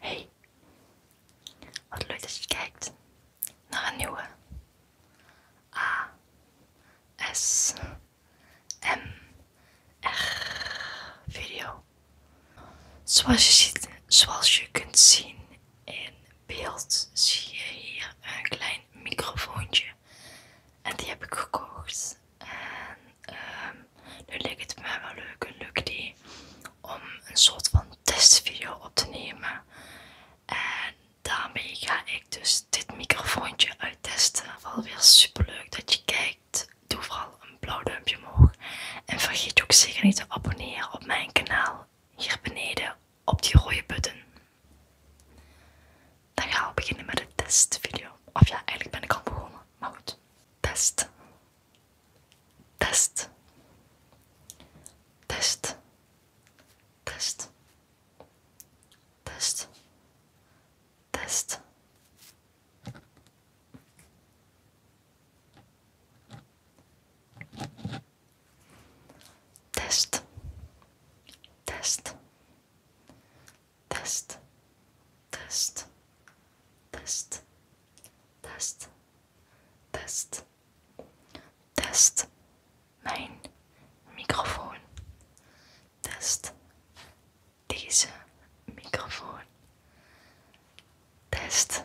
Hey, wat leuk dat je kijkt naar een nieuwe A S M R video. Zoals je ziet, zoals je kunt zien in beeld zie je hier een klein microfoontje. En die heb ik gekocht. En ehm, nu leek het me wel leuk, een leuk idee, om een soort van testvideo op te nemen. En daarmee ga ik dus dit microfoontje uittesten. Wel weer super leuk dat je kijkt. Doe vooral een blauw duimpje omhoog. En vergeet ook zeker niet te abonneren op mijn kanaal hier beneden op die rode button. Dan gaan we beginnen met de testvideo. Of ja, eigenlijk ben ik al begonnen, maar goed. Test. Test. Test. Test. Test. Test. Test, Test, Test, Test, Test, Test, Test, Test, mein Mikrofon, Test, diese Mikrofon, Test,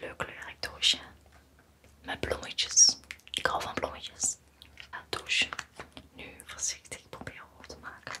leuke leuke leuk doosje. Met bloemetjes. Ik hou van bloemetjes. Het doosje. Nu voorzichtig proberen op te maken.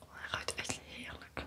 Oh, hij ruikt echt heerlijk.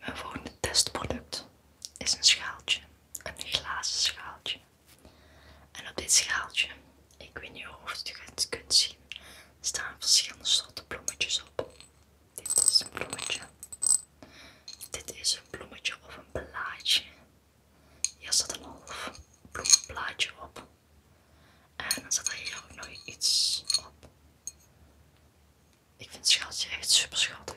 Mijn volgende testproduct is een schaaltje, een glazen schaaltje. En op dit schaaltje, ik weet niet of je het kunt zien, staan verschillende soorten bloemetjes op. Dit is een bloemetje. Dit is een bloemetje of een blaadje. Hier staat een half bloemblaadje op. En dan staat er hier ook nog iets op. Ik vind Schatje echt super schattig.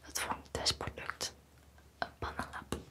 Het vormt testproduct een bananenlap.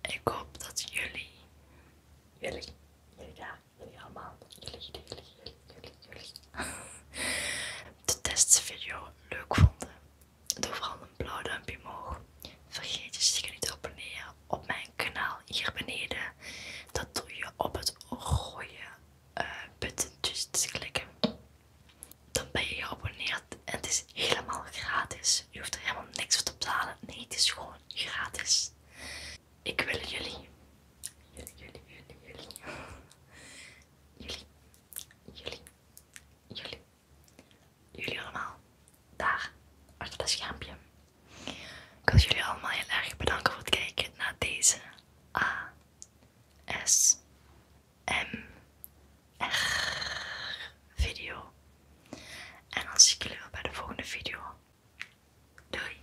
Ik hoop dat jullie, jullie, jullie daar jullie allemaal. Jullie, jullie, jullie, jullie, jullie. de testvideo leuk vonden. Doe vooral een blauw duimpje omhoog. Vergeet je zeker niet te abonneren op mijn kanaal hier beneden. Dat doe je op het rode eh, button dus te klikken. Dan ben je geabonneerd en het is helemaal gratis. Je hoeft er helemaal niks voor te betalen. Nee, het is gewoon gratis. Ik wil jullie. Jullie, jullie, jullie, jullie. Jullie, jullie, jullie. allemaal. Daar, achter dat schaampje. Ik wil jullie allemaal heel erg bedanken voor het kijken naar deze A. S. M. R. Video. En dan zie ik jullie wel bij de volgende video. Doei!